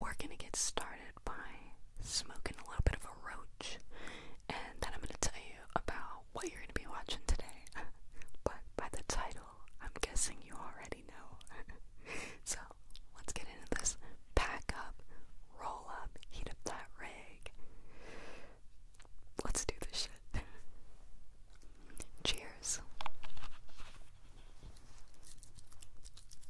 we're gonna get started by smoking a little bit of a roach, and then I'm gonna tell you about what you're gonna be watching today. but by the title, I'm guessing you already know. so let's get into this. Pack up, roll up, heat up that rig. Let's do this shit. Cheers.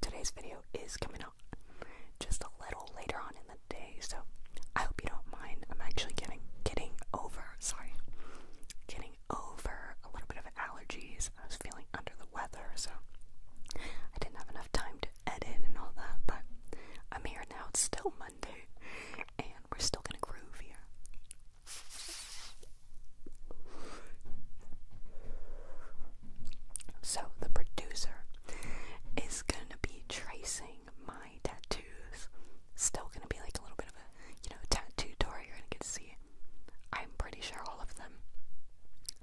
Today's video is coming out just a little later on in the day, so I hope you don't mind. I'm actually getting getting over sorry getting over a little bit of allergies. I was feeling under the weather, so I didn't have enough time to edit and all that, but I'm here now. It's still Monday, and we're still gonna groove here. So, the producer is gonna be tracing my tattoos. Still gonna be like a little bit of a, you know, tattoo tour. You're gonna get to see, I'm pretty sure, all of them.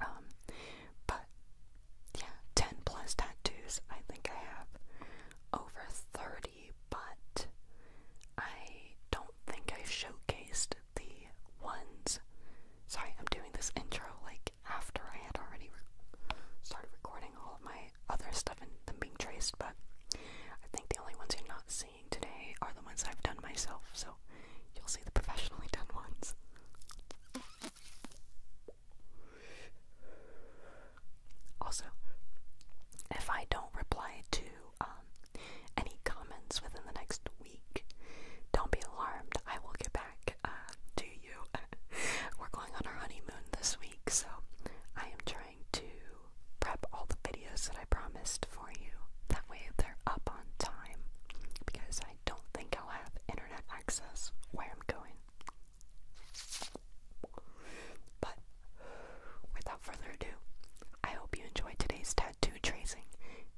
Um, but yeah, 10 plus tattoos. I think I have over 30 but I don't think I showcased the ones. Sorry, I'm doing this intro like after I had already started recording all of my other stuff and them being traced, but I think the only ones you're not seeing today are the ones I've done myself, so you'll see the professionally done ones. Also, if I don't reply to um, any comments within the next week, don't be alarmed. I will get back uh, to you. We're going on our honeymoon this week, so I am trying to prep all the videos that I promised for you. That way they're up on time because I don't think I'll have internet access where I'm going. But without further ado, I hope you enjoyed today's tattoo tracing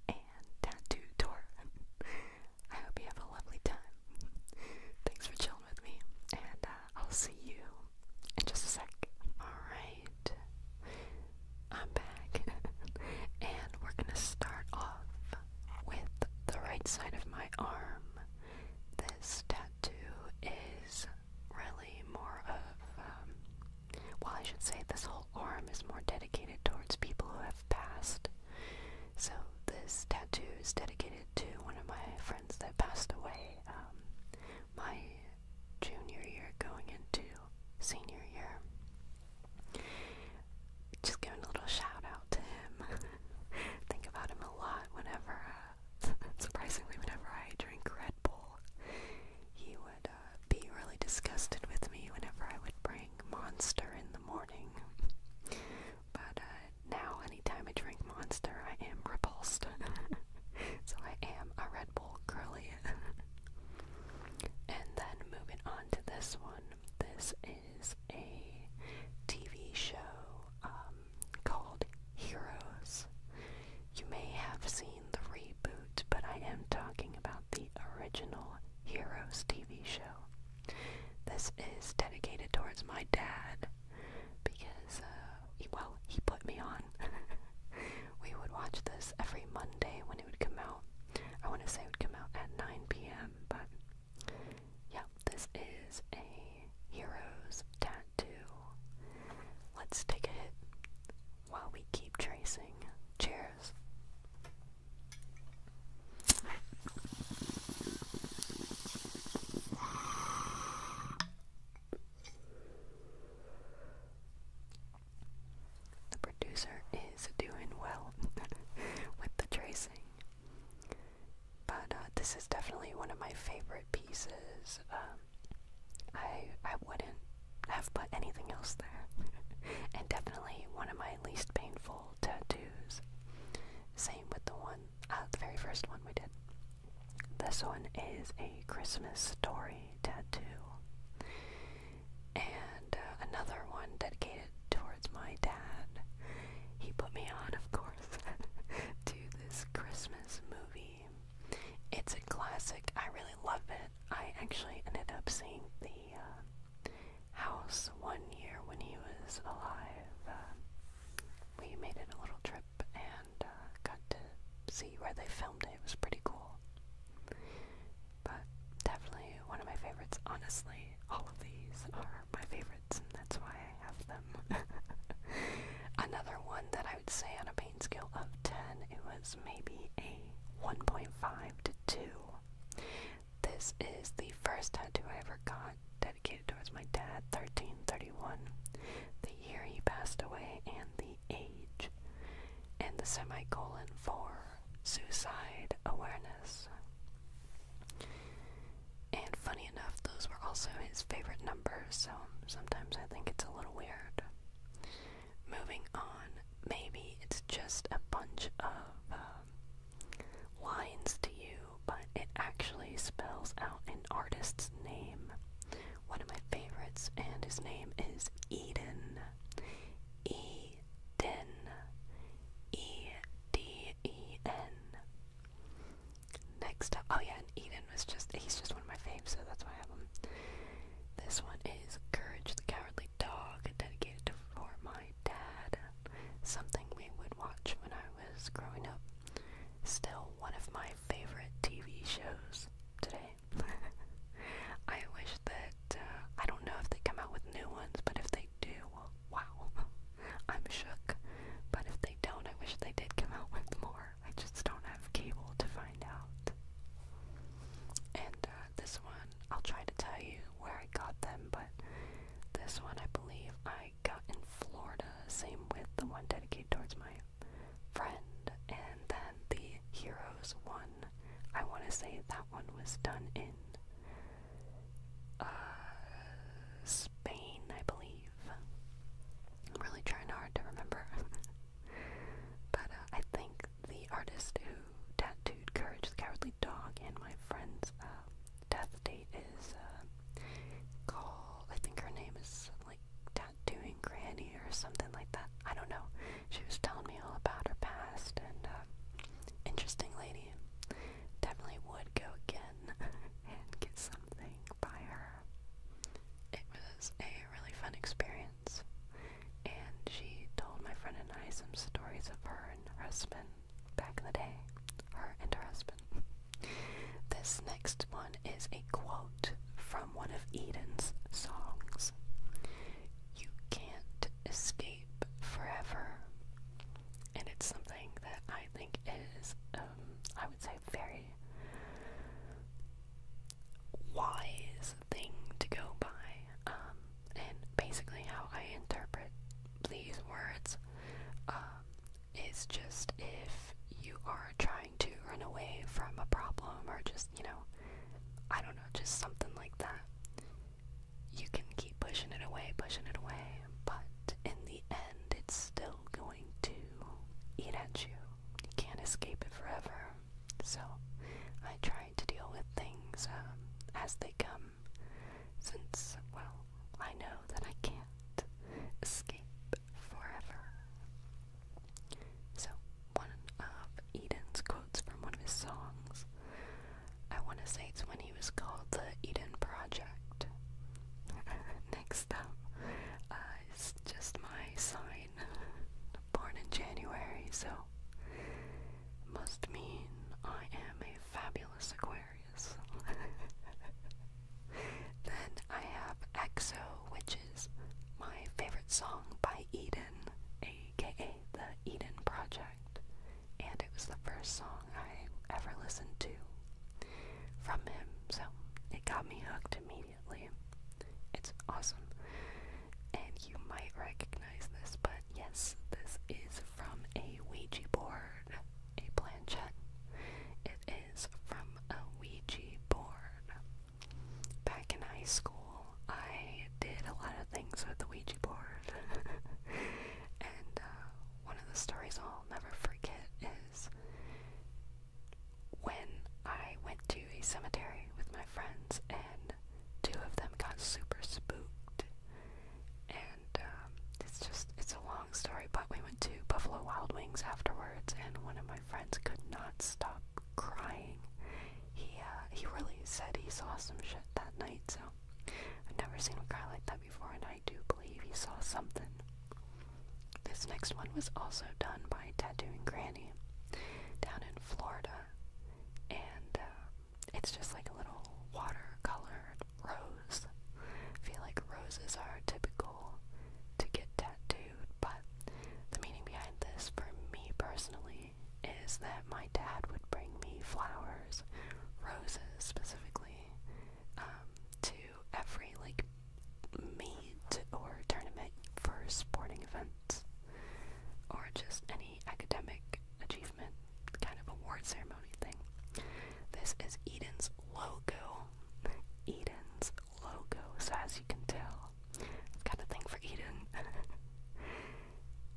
and tattoo tour. I hope you have a lovely time. Thanks for chilling with me, and uh, I'll see you in just a sec. Alright, I'm back, and we're gonna start off with the right side of my arm. This tattoo is really more of, um, well, I should say this whole arm is more dedicated towards people who have passed. So this tattoo is dedicated to one of my friends that passed away um, my junior year going into senior year. Just giving a little shout out to him. Think about him a lot whenever. Uh, Surprisingly, whenever I drink Red Bull, he would uh, be really disgusted with me whenever I would bring Monster in the morning. But uh, now, anytime I drink Monster, I am repulsed. so I am a Red Bull girly. and then moving on to this one. This is a TV show. Um, called Heroes. You may have seen the reboot, but I am talking about the original Heroes TV show. This is dedicated towards my dad because, uh, well, he put me on. we would watch this every Monday when it would come out. I want to say it would come out at 9 p.m., but yeah, this is a Heroes Town to let's take a hit while we keep tracing. Cheers. The producer is doing well with the tracing. But uh, this is definitely one of my favorite pieces um, I I wouldn't have put anything else there. and definitely one of my least painful tattoos. Same with the one, uh, the very first one we did. This one is a Christmas story tattoo. And uh, another one dedicated towards my dad. He put me on, of course, to this Christmas movie it's a classic. I really love it. I actually ended up seeing the uh, house one year when he was alive. Uh, we made it a little trip and uh, got to see where they filmed it. It was pretty cool. But definitely one of my favorites. Honestly, all of these are my favorites, and that's why I have them Another one that I would say on a pain scale of 10, it was maybe a 1.5 to 2. This is the first tattoo I ever got dedicated towards my dad, 1331. The year he passed away and the age. And the semicolon for suicide awareness. And funny enough, those were also his favorite numbers, so sometimes I think it's a little weird. Moving on, maybe it's just a bunch of um, lines to you, but it actually spells out an artist's name. One of my favorites, and his name is Eden. E D E N. Next up, oh yeah, and Eden was just, he's just one of my faves, so that's why I have him. This one is Courage the Cowardly Dog, dedicated to for my dad. Something we would watch when I was growing up. Still one of my favorite TV shows today. I wish that, uh, I don't know if they come out with new ones, but if they do, wow, I'm shook. But if they don't, I wish they did come out with more. I just don't have cable to find out. And uh, this one, I'll try to tell you where I got them, but this one I believe I got in Florida, same with the one dedicated towards my friend. And then the Heroes one, I want to say that one was done in uh, Spain, I believe. I'm really trying hard to remember. but uh, I think the artist who tattooed Courage the Cowardly Dog and my friend's uh, death date is uh, called, I think her name is like Tattooing Granny or something like that. I don't know. She was telling me all about her past and interesting lady. Definitely would go again and get some by her. It was a really fun experience, and she told my friend and I some stories of her and her husband back in the day. Her and her husband. This next one is a quote from one of Eden's songs You can't escape forever. And it's something that I think is, um, I would say, very wise thing to go by. Um, and basically, how I interpret these words um, is just if you are trying to run away from a problem or just, you know, I don't know, just something like that. You can keep pushing it away, pushing it away, but in the end, it's still going to eat at you. You can't escape it forever. So I try to deal with things um, as they come, since, well, I know that I can't escape forever. So, one of Eden's quotes from one of his songs, I want to say it's when he was called the Eden Project. Next up, uh, it's just my sign. Born in January, so must mean I am a fabulous Aquarius. then I have EXO, which is my favorite song by Eden, aka the Eden Project. And it was the first song I ever listened to from him, so it got me hooked immediately. It's awesome. And you might recognize this, but yes, this is from a Ouija board, a planchette. It is from a Ouija board. Back in high school, I did a lot of things with the Ouija board. and uh, one of the stories I'll never forget is when I went to a cemetery with my friends, and two of them got super spooked. And um, it's just, it's a long story, but we went to Buffalo Wild Wings afterwards, and one of my friends could not stop crying. He, uh, he really said he saw some shit that night, so I've never seen a guy like that before, and I do believe he saw something. This next one was also done by Tattooing Granny down in Florida, and uh, it's just like a little watercolored rose. I feel like roses are typical to get tattooed, but the meaning behind this for me personally is that my dad would bring me flowers, roses specifically, um, to every like meet or tournament for sporting events or just any academic achievement kind of award ceremony thing. This is Eden's logo. Eden's logo, so as you can tell, I've got a thing for Eden.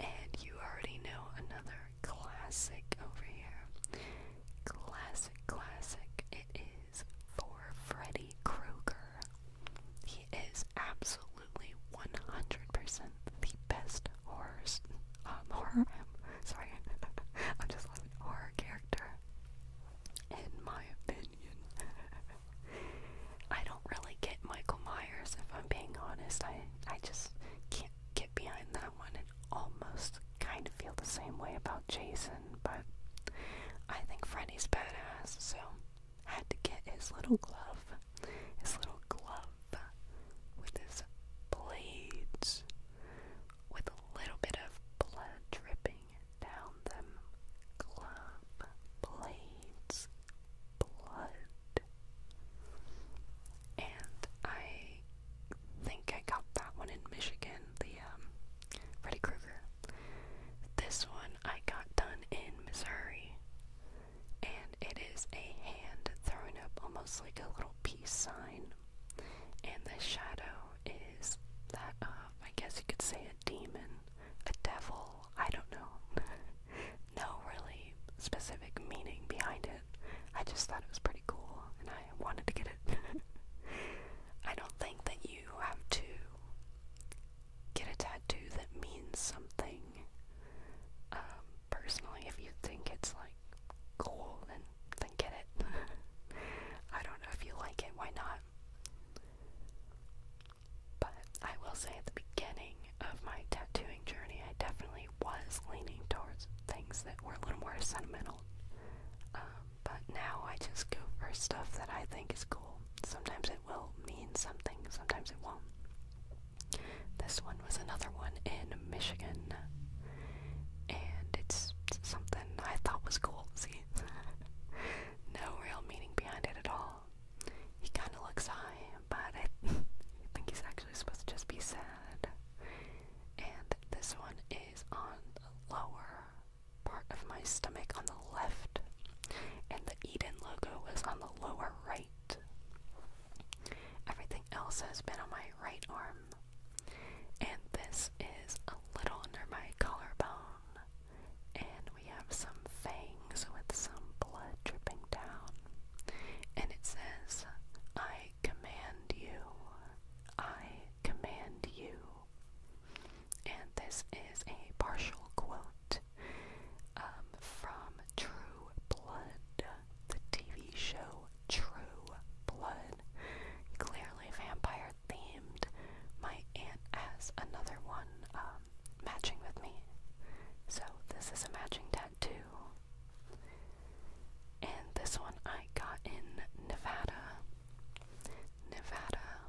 and you already know another classic over here. Classic, classic. It is is for Freddy Krueger. He is absolutely 100% the best horror, um, horror, sorry, I'm just loving horror character, in my opinion. I don't really get Michael Myers, if I'm being honest. I, I just can't get behind that one almost kind of feel the same way about Jason, but I think Freddy's badass, so I had to get his little glove, his little glove with his blades, with a little bit of blood dripping down them. Glove, blades, blood. And I think I got that one in Michigan, the um, Freddy Krueger. This one I got done in Missouri, and it is a hand throwing up almost like a little peace sign, and the shadow is that uh, I guess you could say, a demon, a devil, I don't know. no really specific meaning behind it. I just thought it was pretty cool, and I wanted to get it. I don't think that you have to get a tattoo that means something. Um, personally, if you think it's like cool, then then get it. I don't know if you like it. Why not? But I will say at the beginning of my tattooing journey, I definitely was leaning towards things that were a little more sentimental. Um, but now I just go for stuff that I think is cool. Sometimes it will mean something, sometimes it won't. This one was another one in Michigan. And it's something I thought was cool, see? no real meaning behind it at all. He kinda looks high, but I, I think he's actually supposed to just be sad and this one is on the lower part of my stomach on the left, and the Eden logo is on the lower right. Everything else has been on my right arm, and this is a little under my collarbone, and we have some fangs with some blood dripping down, and it says, I command you. I command you. And this is a partial quote um, from True Blood, the TV show True Blood. Clearly vampire themed. My aunt has another one um, matching with me. So this is a matching tattoo. And this one I got in Nevada. Nevada,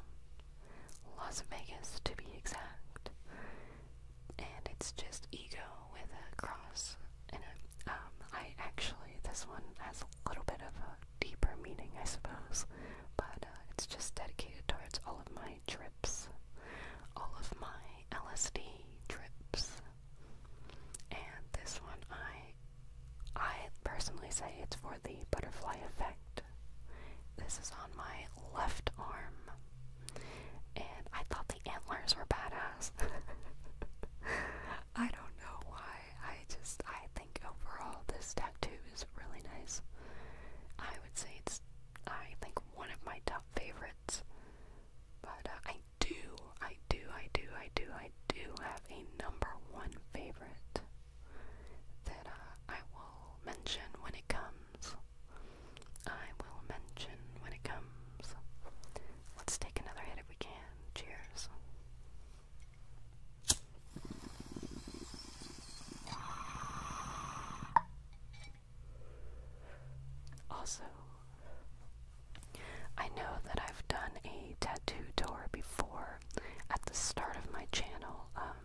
Las Vegas to be exact, and it's just ego with a cross in it. Um, I actually this one has a little bit of a deeper meaning, I suppose, but uh, it's just dedicated towards all of my trips, all of my LSD trips, and this one I I personally say it's for the butterfly effect. This is on my left arm. And I thought the antlers were badass. I don't know why. I just, I think overall this tattoo is really nice. I would say it's, I think, one of my top favorites. But uh, I do, I do, I do, I do, I do have a number one favorite that uh, I will mention when it comes. I will mention when it comes. Let's take another hit if we can. Cheers. Also, I know that I've done a tattoo tour before at the start of my channel. Um,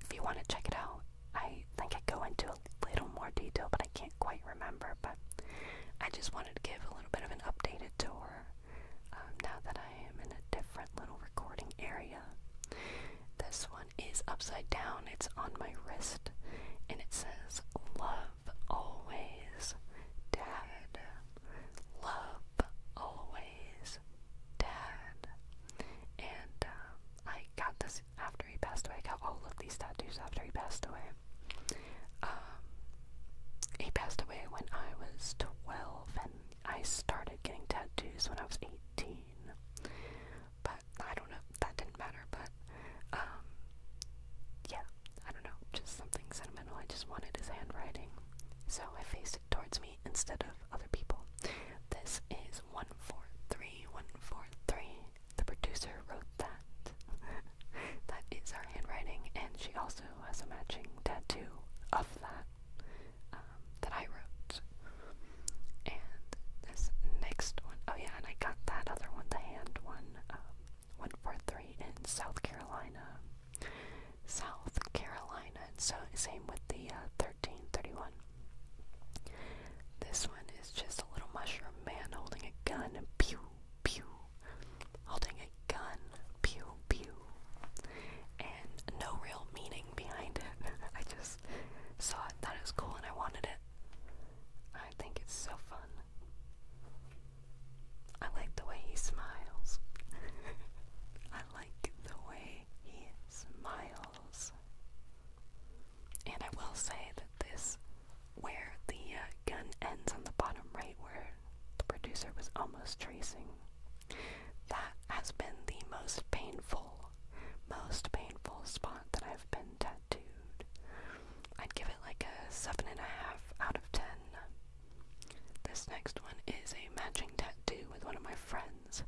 if you want to check it out, I think I go into a little more detail, but I can't quite remember. But I just wanted to give a little bit of an updated tour um, now that I am in a different little recording area. This one is upside down, it's on my wrist, and it says Love always, Dad. Love always, Dad. And um, I got this after he passed away. I got all of these tattoos after he passed away. Um, he passed away when I was 12, and I started getting tattoos when I was 18. But I don't know, that didn't matter, but um, yeah, I don't know, just something sentimental. I just wanted his handwriting. So I faced it towards me instead of other people. This is 143, 143. The producer wrote that. that is her handwriting, and she also has a matching tattoo of that um, that I wrote. And this next one, oh yeah, and I got that other one, the hand one, um, 143 in South Carolina. South Carolina. And so same with the uh, 1331. This one is just a little mushroom man holding a gun. Pew, pew. Holding a gun. Pew, pew. And no real meaning behind it. I just saw it, thought it was cool, and I wanted it. I think it's so fun. I like the way he smiles. I like the way he smiles. And I will say that this, where the uh, gun ends on the bottom right, where the producer was almost tracing, that has been the most painful, most painful spot that I've been tattooed. I'd give it like a 7.5 out of 10. This next one is a matching tattoo with one of my friends.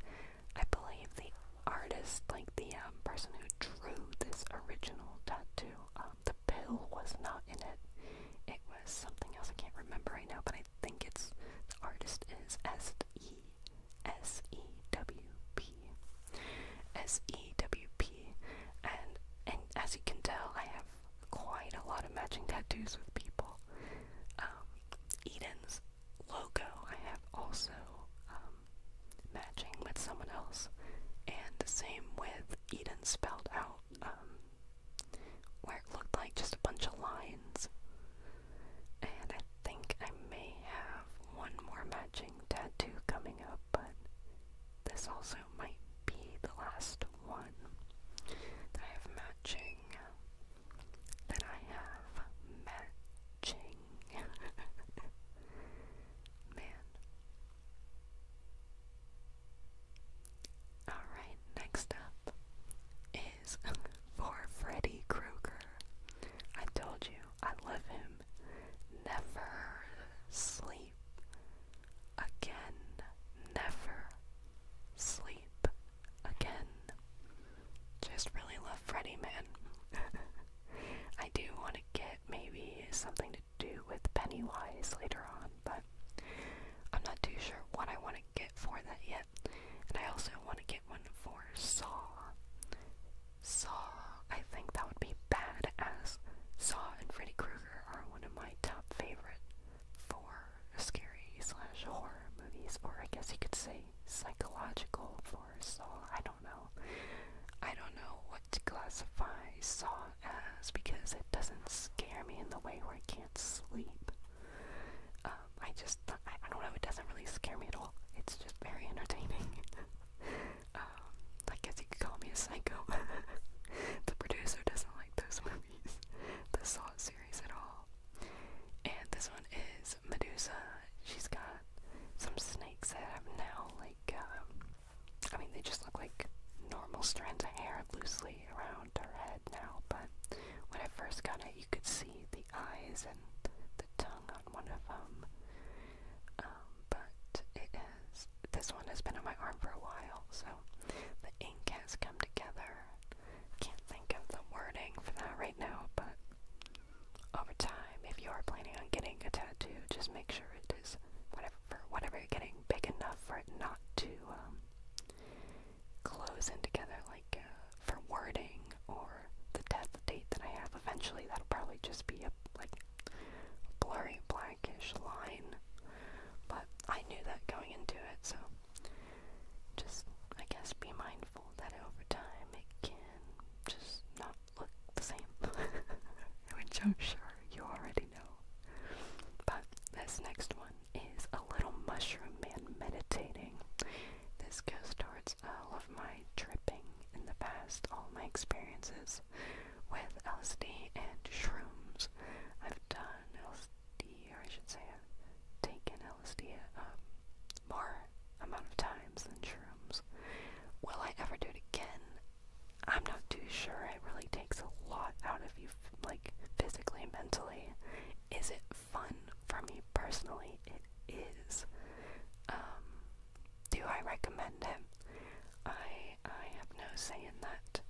I believe the artist, like the um, person who drew this original tattoo, um, the pill was not in it. It was something else I can't remember right now, but I think it's the artist is S E S E W P S E W P, and and as you can tell, I have quite a lot of matching tattoos with people. Um, Eden's logo I have also um, matching with someone else, and the same with Eden spelled out, um, where it looked like just a bunch of lines. And I think I may have one more matching tattoo coming up, but this also might be the last one that I have matching. That I have matching. Man. Alright, next up is for Freddy Krueger. I told you, I love him. Never sleep again. Never sleep again. Just really love Freddy, man. I do want to get maybe something to do with Pennywise later on, but I'm not too sure what I want to get for that yet. And I also want to get one for Saw. Saw, I think that would be bad ass. Saw and Freddy Krueger are one of my top favorite for scary slash horror movies, or I guess you could say psychological for Saw. I don't know. I don't know what to classify Saw as because it doesn't scare me in the way where I can't sleep. Um, I just, I, I don't know, it doesn't really scare me at all. It's just very entertaining. um, I guess you could call me a psycho. the producer doesn't like those movies, the Saw series at all. And this one is Medusa. She's got some snakes that have now, like, um, I mean, they just look like normal strands of hair loosely around her head now, but when I first got it, you could see the eyes and the tongue on one of them. Um, but it is this one has been on my arm for a while, so the ink has come together. Can't think of the wording for that right now, but over time, if you are planning on getting a tattoo, just make sure it is whatever whatever you're getting big enough for it not to um, close in together, like uh, for wording or the death date that I have. Eventually, that'll probably just be a like blurry blackish line, but I knew that going into it, so just, I guess, be mindful that over time it can just not look the same, which I'm sure you already know. But this next one is A Little Mushroom Man Meditating. This goes towards all of my tripping in the past, all my experiences with LSD and shrooms. I've done LSD, or I should say, I've taken LSD um, more amount of times than shrooms. Will I ever do it again? I'm not too sure. It really takes a lot out of you, like physically, mentally. Is it fun for me personally? It is. Um, do I recommend it? I I have no say in that.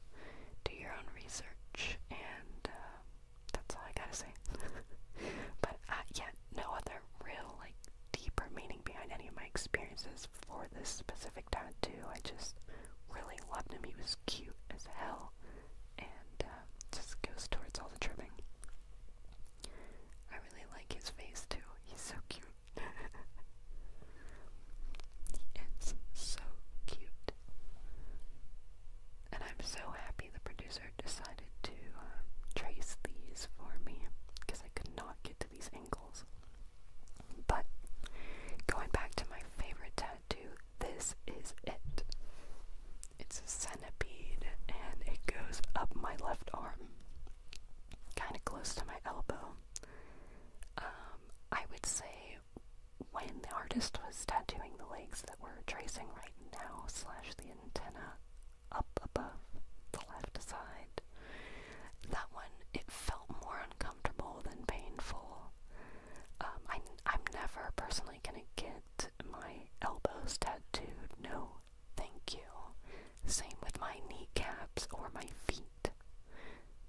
Do your own research, and uh, that's all I gotta say. but uh, yeah, no other real like deeper meaning behind any of my experiences for this specific tattoo. I just really loved him. He was cute as hell, and uh, just goes towards all the trimming. I really like his face too. He's so cute. it's so cute. And I'm so happy the producer decided to um, trace these for me because I could not get to these angles. But going back to my favorite tattoo, this is it. It's a centipede and it goes up my left arm, kind of close to my elbow. Um, I would say when the artist was tattooing the legs that we're tracing right now, slash the antenna up above the left side, that one, it felt more uncomfortable than painful. Um, I, I'm never personally gonna get my elbows tattooed, no thank you. Same with my kneecaps or my feet.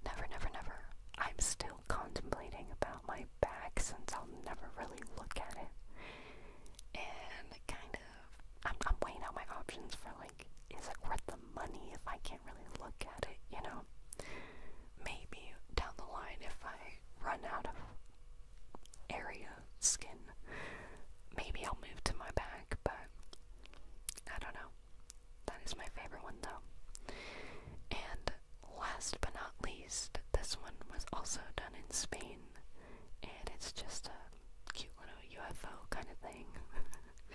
Never, never, never. I'm still contemplating about my back since I'll never really look at it. And kind of, I'm, weighing out my options for like, is it worth the money if I can't really look at it, you know? Maybe down the line if I run out of area skin, maybe I'll move to my back, but I don't know. That is my favorite one though. And last but not least, this one was also done in Spain, and it's just a cute little UFO kind of thing.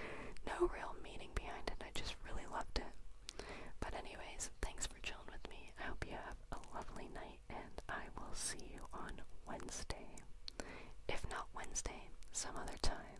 no real meaning behind it, I just really loved it. But, anyways, thanks for chilling with me. I hope you have a lovely night, and I will see you on Wednesday. If not Wednesday, some other time.